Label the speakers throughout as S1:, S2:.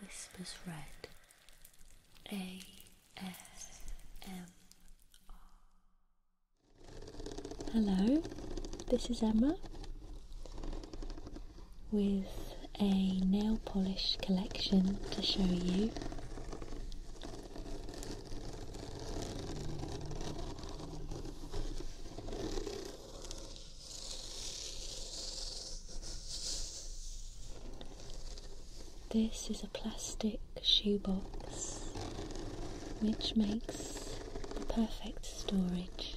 S1: Whispers Red A S M R. Hello, this is Emma with a nail polish collection to show you. This is a plastic shoebox which makes the perfect storage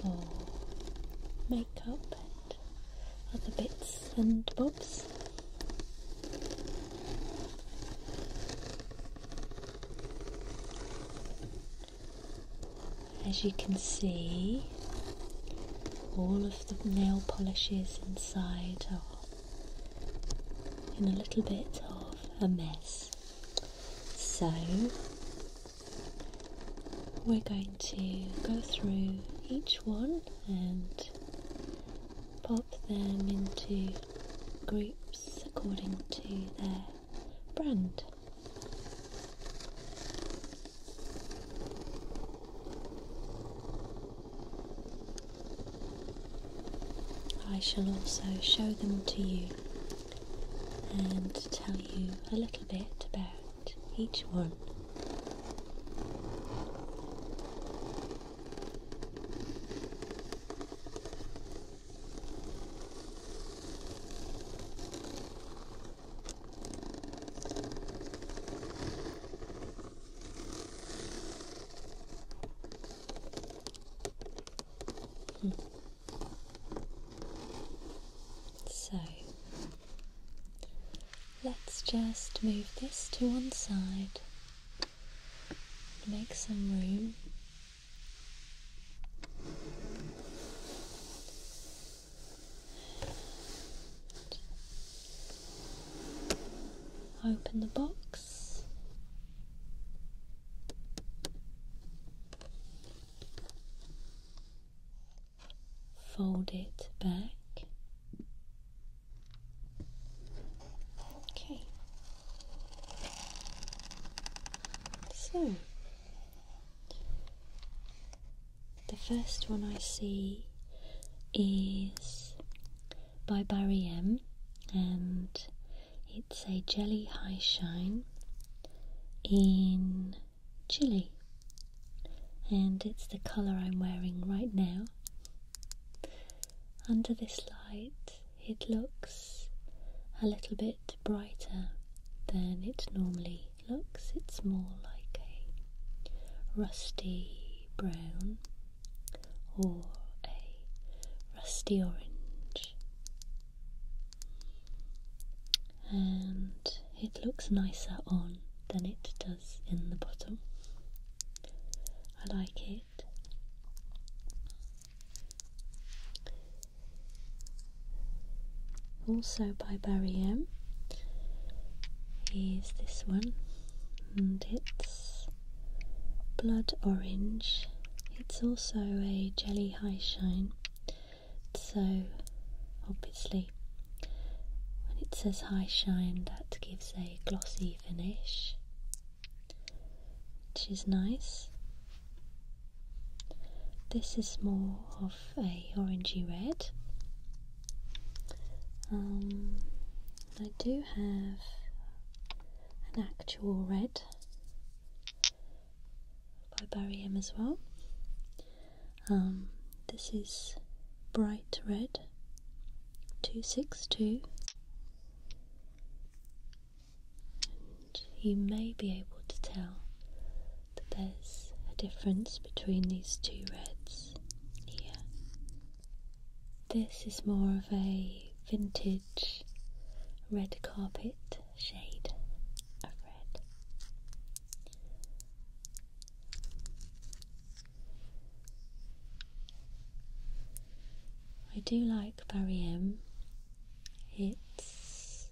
S1: for makeup and other bits and bobs. As you can see, all of the nail polishes inside are in a little bit of a mess. So, we're going to go through each one and pop them into groups according to their brand. I shall also show them to you and tell you a little bit about each one. So let's just move this to one side, make some room. Open the box. Fold it back. Okay. So the first one I see is by Barry M, and it's a jelly high shine in chili, and it's the colour I'm wearing right now. Under this light, it looks a little bit brighter than it normally looks. It's more like a rusty brown or a rusty orange. And it looks nicer on than it does in the bottom. I like it. Also by Barry M is this one, and it's blood orange. It's also a jelly high shine, so obviously when it says high shine, that gives a glossy finish, which is nice. This is more of a orangey red. Um, I do have an actual red by Barry M as well. Um, this is bright red 262 you may be able to tell that there's a difference between these two reds here. This is more of a vintage red carpet shade of red. I do like Barry M. It's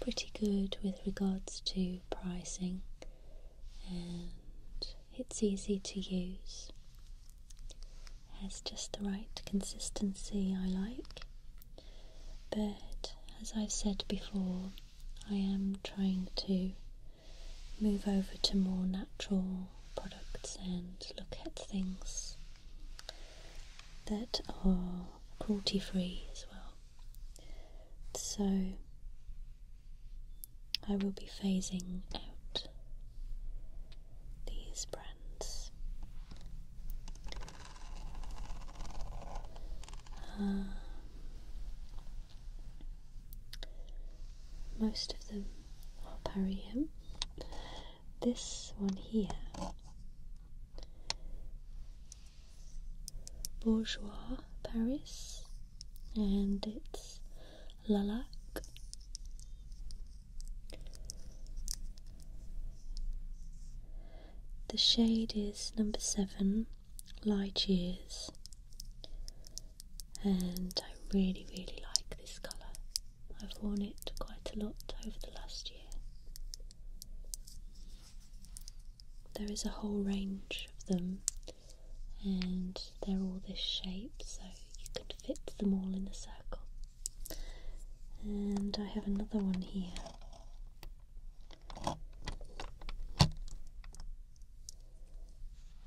S1: pretty good with regards to pricing and it's easy to use. Has just the right consistency I like, but as I've said before, I am trying to move over to more natural products and look at things that are cruelty free as well. So I will be phasing out these brands. Um, most of them are Parium. This one here Bourgeois Paris, and it's Lalac. The shade is number seven, Light Years, and I really, really like this colour. I've worn it quite a lot over the last year. There is a whole range of them, and they're all this shape, so you could fit them all in a circle. And I have another one here.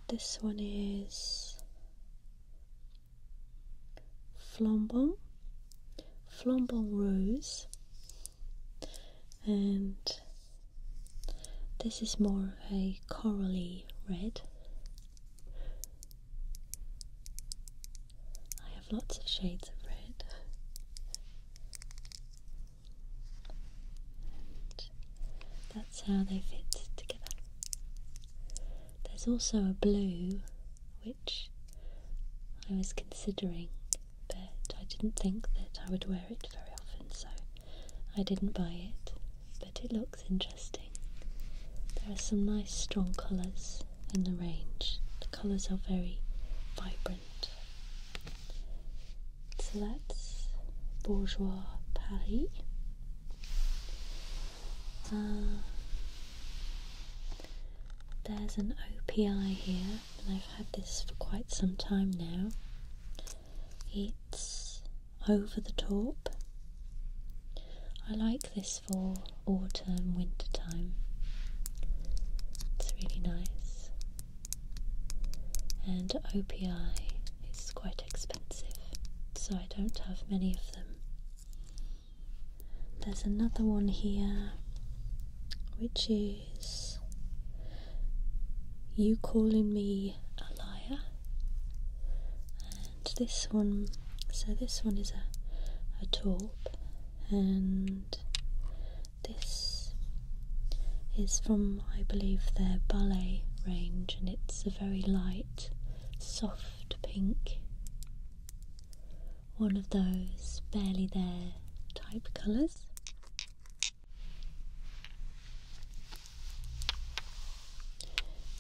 S1: This one is Flambon, Flambon Rose, and this is more of a corally red. I have lots of shades of red. And that's how they fit together. There's also a blue which. I was considering, but I didn't think that I would wear it very often, so I didn't buy it. But it looks interesting. There are some nice strong colours in the range, the colours are very vibrant. So that's Bourgeois Paris. Uh, there's an OPI here I've had this for quite some time now. It's over the top. I like this for autumn, winter time. It's really nice. And OPI is quite expensive, so I don't have many of them. There's another one here which is is you calling me a liar, and this one, so this one is a, a taupe, and this is from, I believe, their ballet range, and it's a very light, soft pink one of those barely there type colours.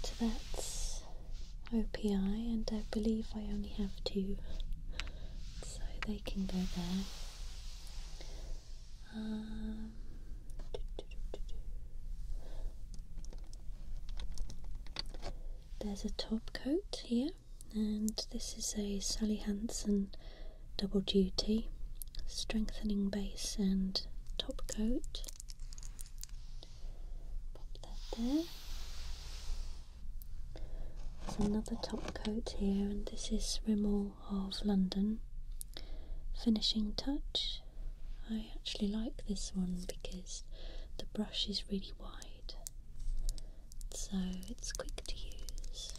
S1: So that's OPI, and I believe I only have two, so they can go there. Um, there's a top coat here and this is a Sally Hansen double duty strengthening base and top coat. Pop that there. There's another top coat here, and this is Rimmel of London finishing touch. I actually like this one because the brush is really wide so it's quick to use.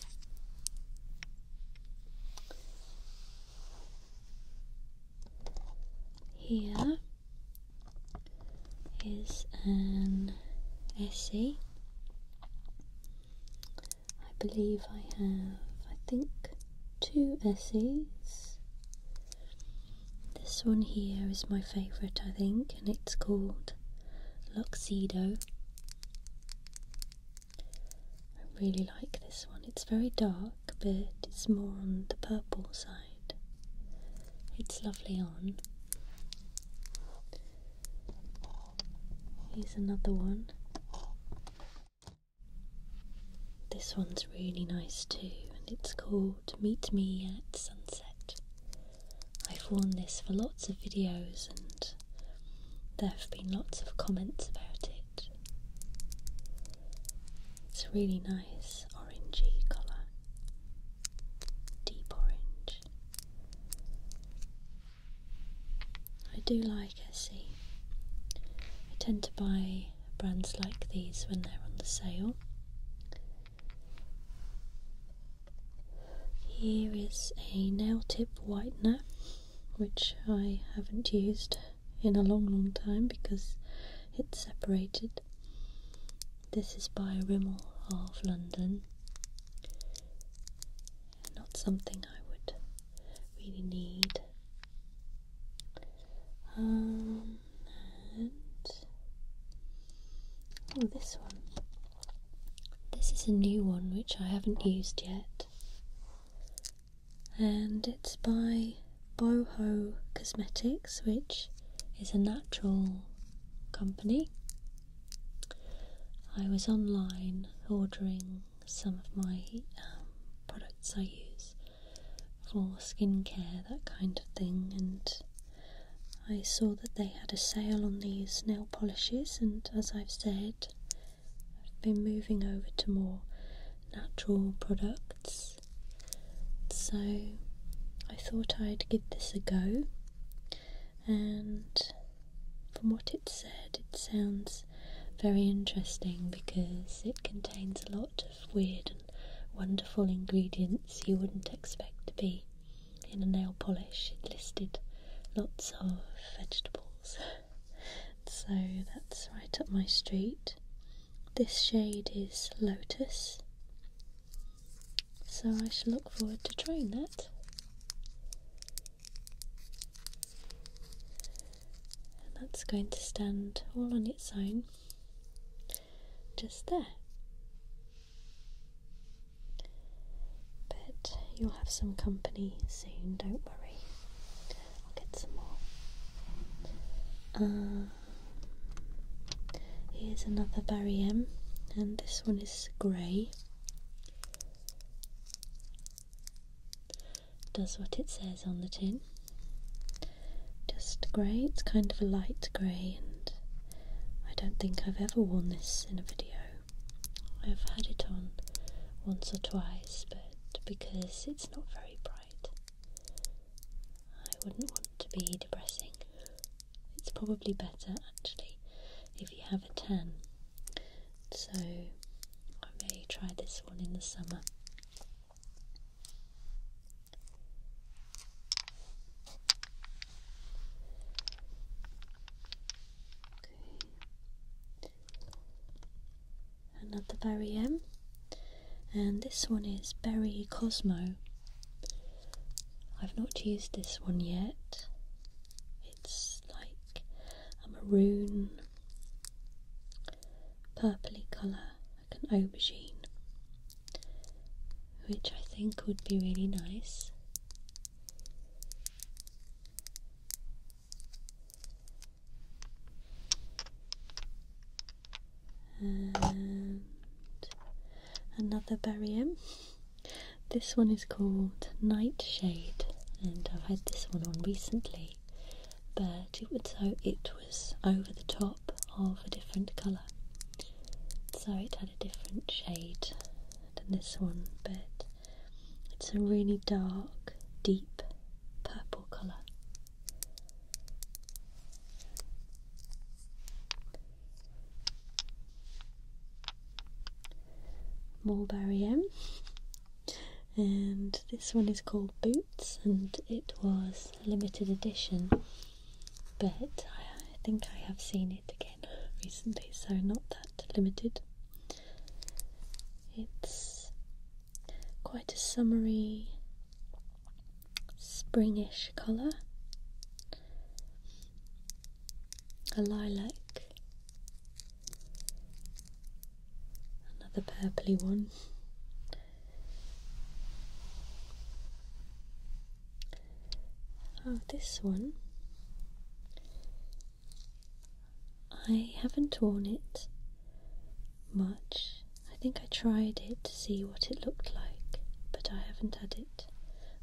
S1: Here is an essay. I believe I have, I think, two essays. This one here is my favourite, I think, and it's called Luxido. I really like this one. It's very dark, but it's more on the purple side. It's lovely on. Here's another one. This one's really nice too, and it's called Meet Me at Sunset. I've worn this for lots of videos and there have been lots of comments about it. It's a really nice orangey colour, deep orange. I do like Essie. I tend to buy brands like these when they're on the sale. Here is a nail tip whitener which I haven't used in a long long time because it's separated. This is by Rimmel of London. Not something I would really need. Um, oh, this one. This is a new one which I haven't used yet, and it's by Boho Cosmetics, which is a natural company. I was online ordering some of my um, products I use for skincare, that kind of thing, and I saw that they had a sale on these nail polishes, and as I've said, I've been moving over to more natural products. So I thought I'd give this a go, and from what it said, it sounds very interesting because it contains a lot of weird and wonderful ingredients you wouldn't expect to be in a nail polish, it listed lots of vegetables. so that's right up my street. This shade is Lotus, so I shall look forward to trying that. that's going to stand all on its own, just there. But you'll have some company soon, don't worry. I'll get some more. Uh, here's another Barry M, and this one is grey. Does what it says on the tin. Just grey, it's kind of a light grey, and I don't think I've ever worn this in a video. I've had it on once or twice, but because it's not very bright, I wouldn't want to be depressing. It's probably better actually if you have a tan, so I may try this one in the summer. Another berry M, and this one is Berry Cosmo. I've not used this one yet. It's like a maroon, purpley colour, like an aubergine, which I think would be really nice. And another barrier. This one is called Nightshade, and I've had this one on recently, but so uh, it was over the top of a different colour, so it had a different shade than this one, but it's a really dark, deep purple colour. Mulberry M. And this one is called Boots and it was limited edition, but I, think I have seen it again recently, so not that limited. It's quite a summery, springish colour, a lilac, another purply one. Oh, this one I haven't worn it much. I think I tried it to see what it looked like, but I haven't had it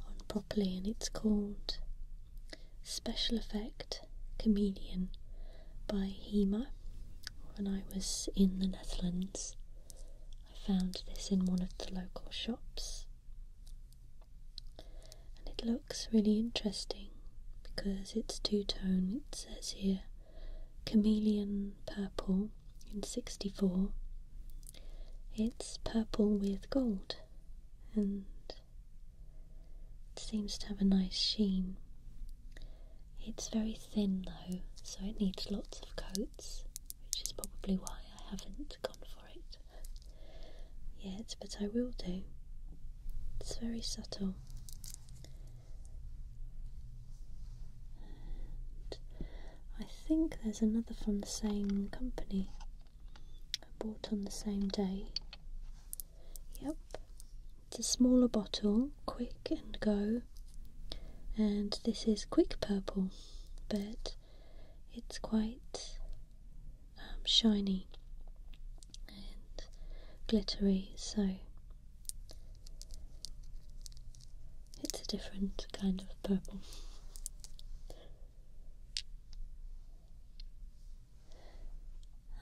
S1: on properly, and it's called Special Effect Chameleon by Hema. When I was in the Netherlands, I found this in one of the local shops and it looks really interesting because it's two-tone it says here chameleon purple in 64 it's purple with gold and it seems to have a nice sheen it's very thin though so it needs lots of coats which is probably why I haven't gone for yet, but I will do. It's very subtle. I think there's another from the same company I bought on the same day. Yep, it's a smaller bottle, quick and go, and this is quick purple, but it's quite um, shiny and glittery, so it's a different kind of purple.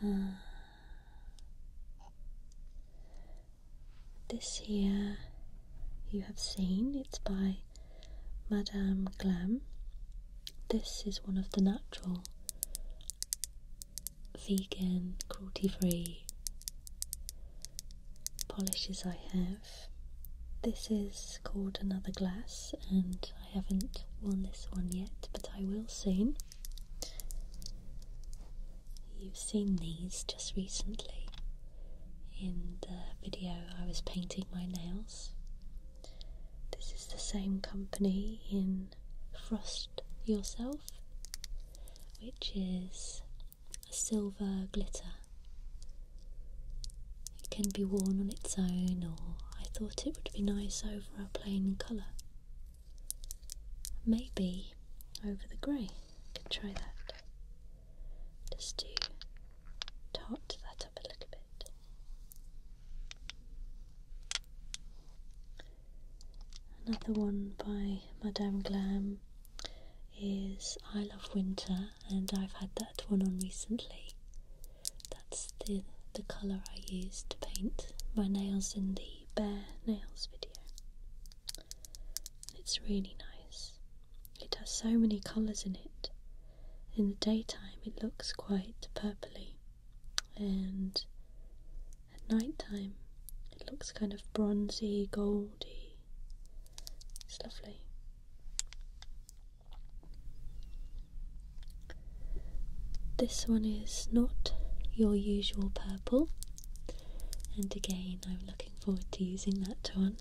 S1: Uh, this here you have seen, it's by Madame Glam. This is one of the natural, vegan, cruelty free polishes I have. This is called Another Glass, and I haven't worn this one yet, but I will soon. You've seen these just recently in the video I was painting my nails. This is the same company in Frost Yourself, which is a silver glitter. It can be worn on its own, or I thought it would be nice over a plain colour. Maybe over the grey. I can try that. Just to tart that up a little bit. Another one by Madame Glam is I Love Winter, and I've had that one on recently. That's the, the colour I used to paint my nails in the bare nails video. It's really nice. It has so many colours in it in the daytime it looks quite purpley, and at night time it looks kind of bronzy, goldy. It's lovely. This one is not your usual purple, and again, I'm looking forward to using that one.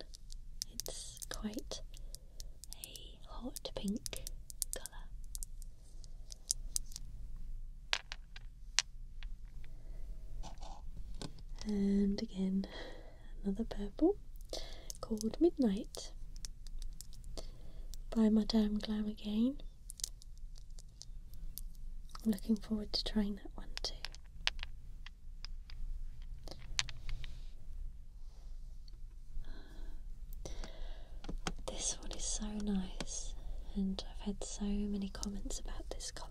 S1: It's quite a hot pink colour. And again, another purple called Midnight by Madame Glam again. I'm looking forward to trying that one too. This one is so nice, and I've had so many comments about this colour.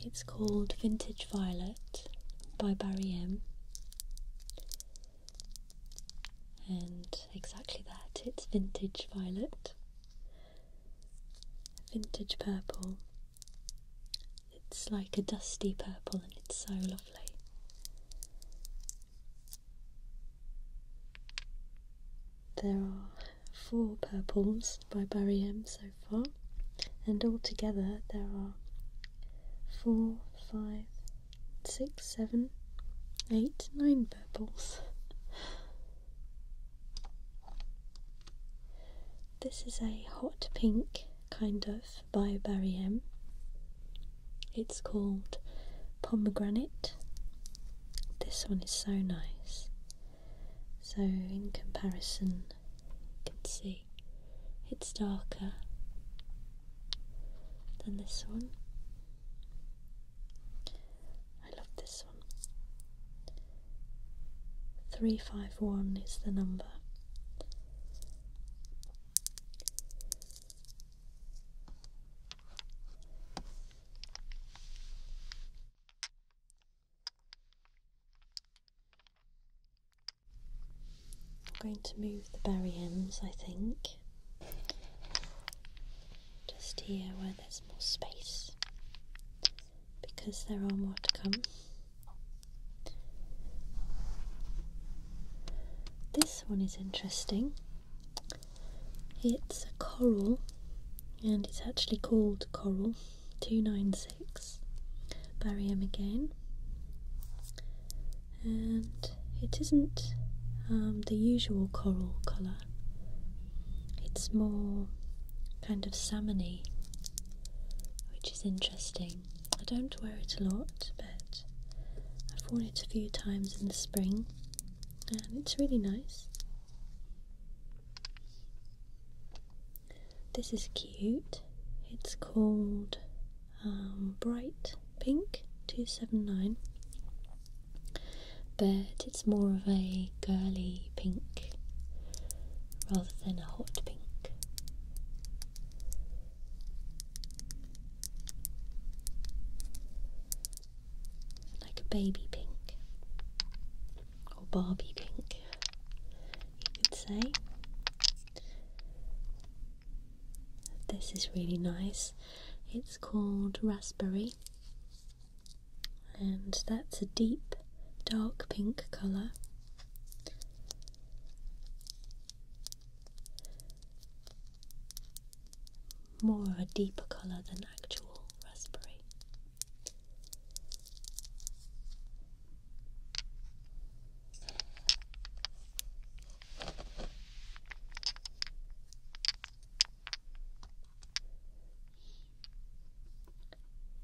S1: It's called Vintage Violet by Barry M. And exactly that, it's vintage violet, vintage purple. It's like a dusty purple and it's so lovely. There are four purples by Barry M so far, and altogether there are four, five, six, seven, eight, nine purples. This is a hot pink kind of by Barry M. It's called Pomegranate. This one is so nice. So, in comparison, you can see it's darker than this one. I love this one. 351 is the number. I'm going to move the berry ends, I think, just here where there's more space because there are more to come. This one is interesting. It's a coral, and it's actually called Coral 296. Barium again. And it isn't um, the usual coral colour. It's more kind of salmony, which is interesting. I don't wear it a lot, but I've worn it a few times in the spring and it's really nice. This is cute. It's called um, Bright Pink 279, but it's more of a girly pink rather than a hot pink like a baby pink or Barbie pink, you could say. This is really nice. It's called Raspberry, and that's a deep dark pink colour more of a deeper colour than actual raspberry.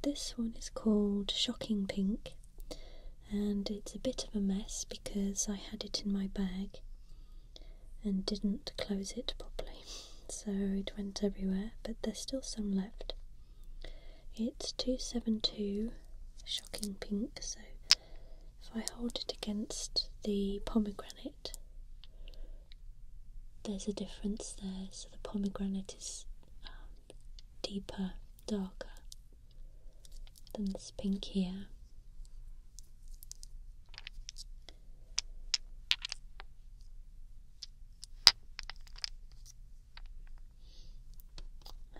S1: This one is called Shocking Pink and it's a bit of a mess because I had it in my bag and didn't close it properly, so it went everywhere, but there's still some left. It's 272 shocking pink, so if I hold it against the pomegranate, there's a difference there, so the pomegranate is um, deeper, darker, then this pink here.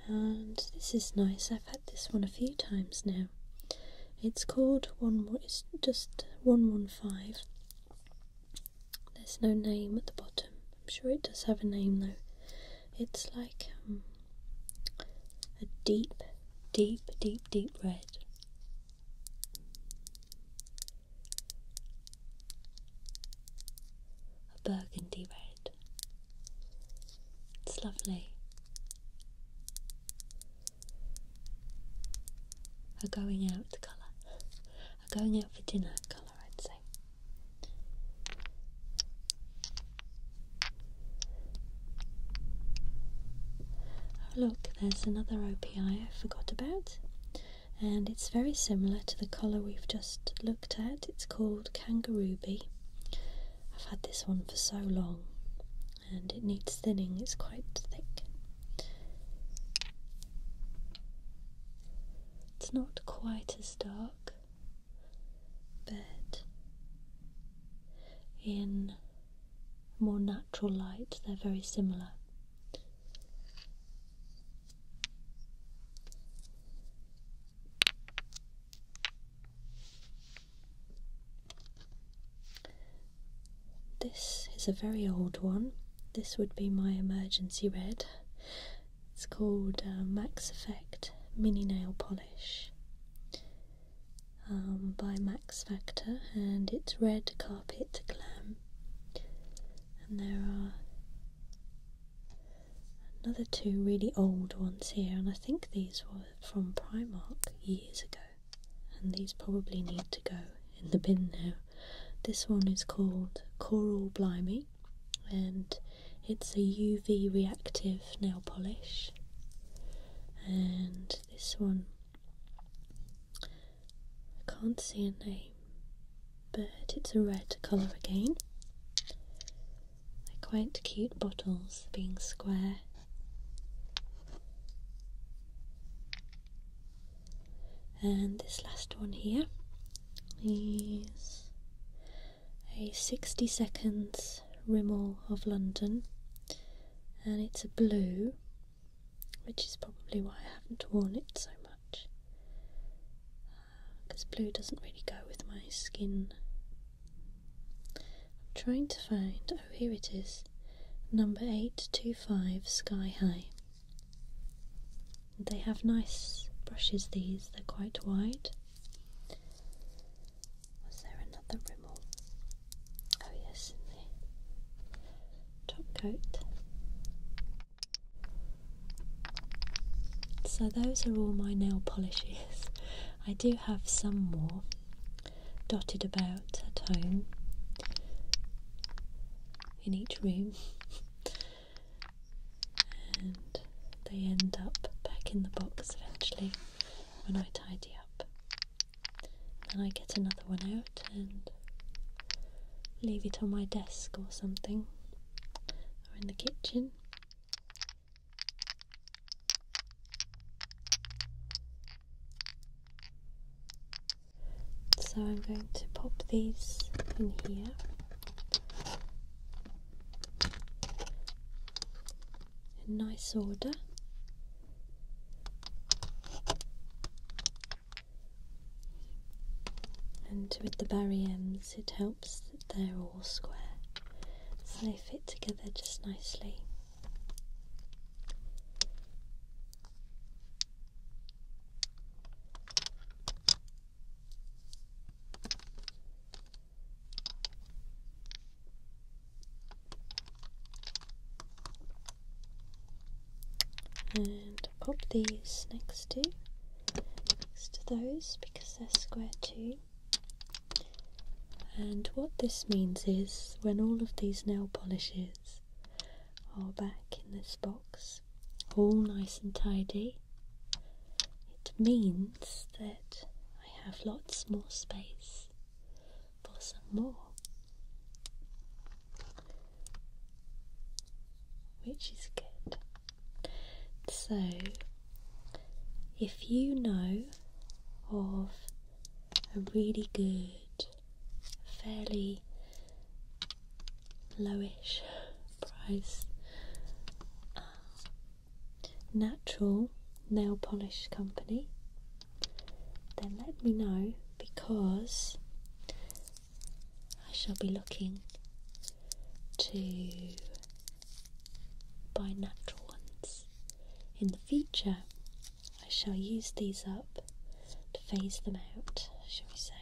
S1: And this is nice. I've had this one a few times now. It's called one. It's just one one five. There's no name at the bottom. I'm sure it does have a name though. It's like um, a deep, deep, deep, deep red. A burgundy red. It's lovely. A going out colour. A going out for dinner colour, I'd say. Oh look, there's another OPI I forgot about, and it's very similar to the colour we've just looked at. It's called Kangaroo Bee. I've had this one for so long, and it needs thinning, it's quite thick. It's not quite as dark bed in more natural light, they're very similar. This is a very old one. This would be my emergency red. It's called uh, Max Effect Mini Nail Polish. Um, by Max Factor, and it's Red Carpet Glam. And there are another two really old ones here, and I think these were from Primark years ago, and these probably need to go in the bin now. This one is called Coral Blimey, and it's a UV reactive nail polish and this one I can't see a name but it's a red colour again quite cute bottles being square and this last one here is a 60 seconds Rimmel of London and it's a blue which is probably why I haven't worn it so much because uh, blue doesn't really go with my skin. I'm trying to find, oh here it is, number 825 Sky High. They have nice brushes these, they're quite wide was there another Rimmel? Oh, yes, in the top coat. So, those are all my nail polishes. I do have some more dotted about at home in each room, and they end up back in the box eventually when I tidy up. Then I get another one out and leave it on my desk or something, or in the kitchen. So I'm going to pop these in here in nice order. And with the berry it helps that they're all square so they fit together just nicely and pop these next to next to those because they're square too and what this means is when all of these nail polishes are back in this box all nice and tidy it means that I have lots more space for some more, which is good. So, if you know of a really good, fairly lowish price um, natural nail polish company, then let me know because I shall be looking to buy natural ones in the future. I shall use these up to phase them out, shall we say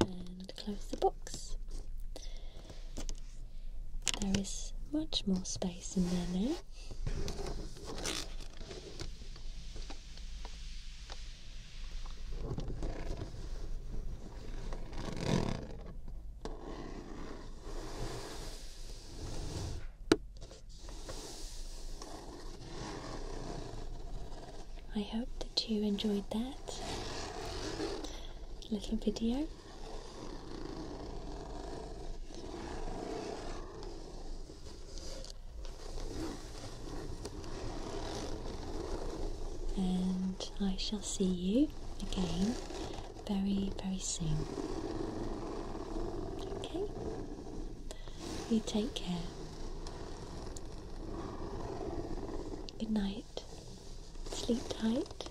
S1: and close the box. There is much more space in there now. I hope that you enjoyed that little video. And I shall see you again very, very soon. Okay? You take care. Good night. Sleep tight.